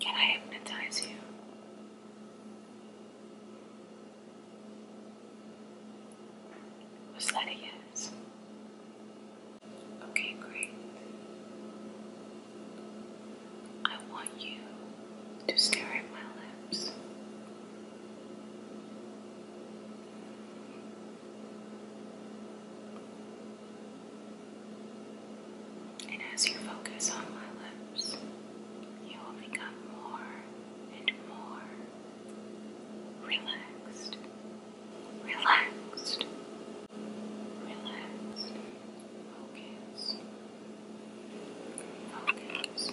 Can I hypnotize you? Was that yes? Okay, great. I want you to stare at my lips. And as you focus on my lips, you will become more and more relaxed, relaxed, relaxed. Focus, focus.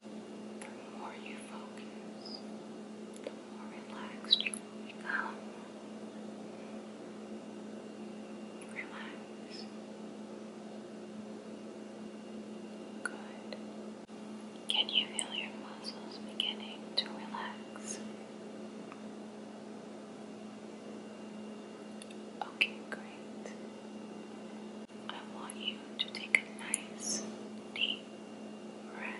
The more you focus, the more relaxed you become. Relax. Good. Can you feel your muscles beginning to relax? Okay, great. I want you to take a nice deep breath.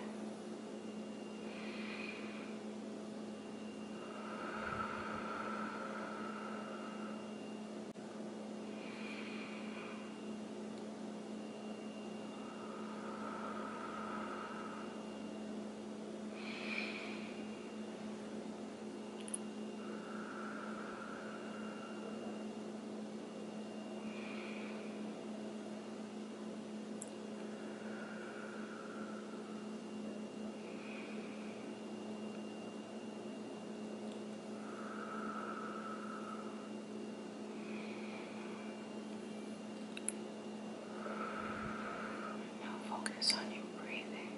Now focus on your breathing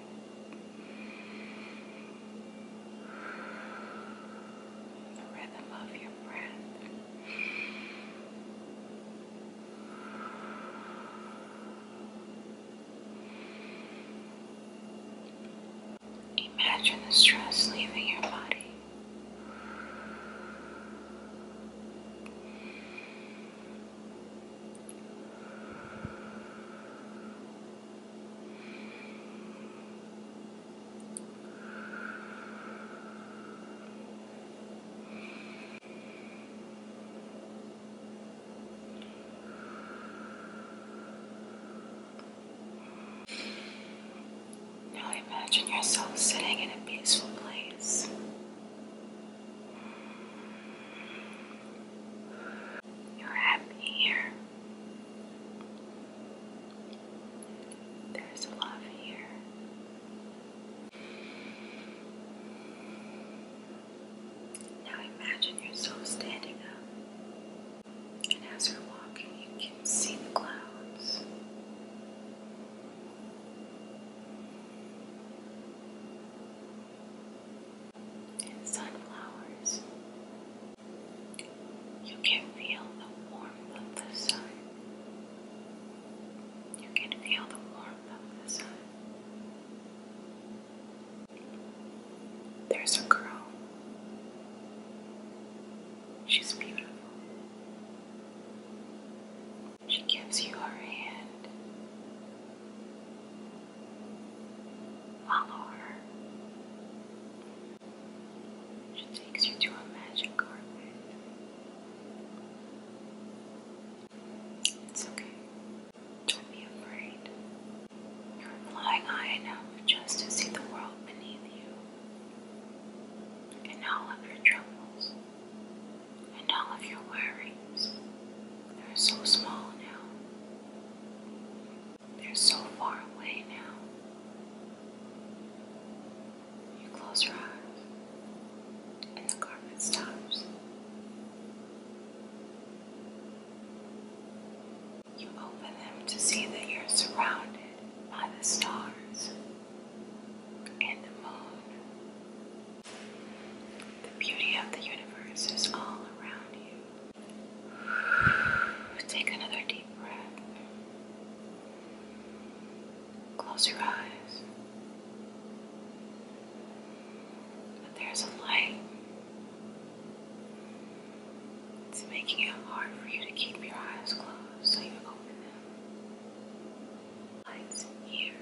the rhythm of your breath. Imagine the stress leaving your body. Now imagine yourself sitting in a peaceful place you're happy here. There's love here. Now imagine yourself standing up, and as you're walking, you can see the clouds sunflowers. You can feel the warmth of the sun. You can feel the warmth of the sun. There's a girl. She's beautiful. She gives you her hand. Follow her. She takes you to a magic carpet. It's okay. Don't be afraid. You're flying high enough just to see the world beneath you and all of your troubles and all of your worries. They're so small now. They're so far away now. You close your eyes and the carpet stops. You open them to see that you're surrounded by the stars and the moon. The beauty of the universe is all around you. Take another deep breath. Close your eyes. But there's a light. It's making it hard for you to keep your eyes closed, so you open them lights here.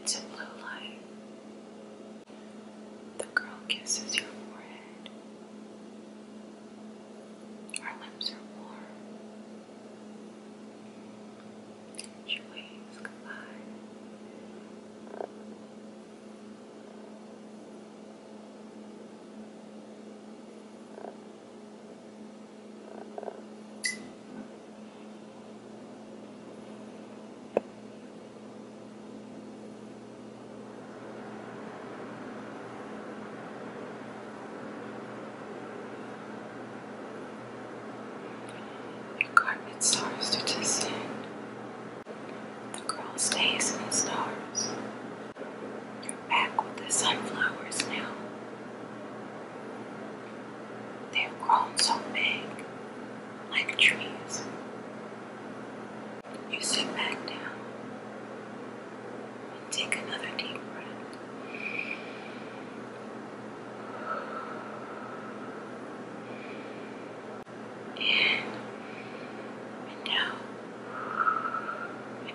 It's a blue light. The girl kisses your forehead. Our lips are warm. Catch your waves goodbye. You The carpet stars to descend. The girl stays in the stars. You're back with the sunflowers now. They've grown so big, like trees. You sit back down. Take another deep breath. In and out.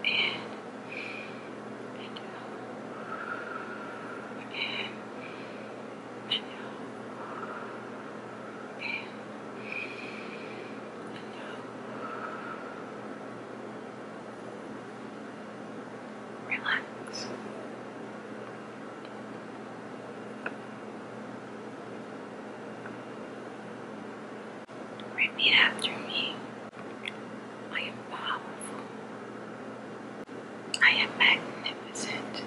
In and out. In and out. In and out. Relax. Repeat after me. I am powerful. I am magnificent.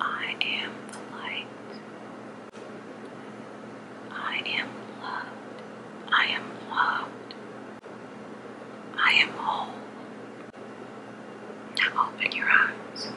I am the light. I am loved. I am loved. I am whole. Now open your eyes.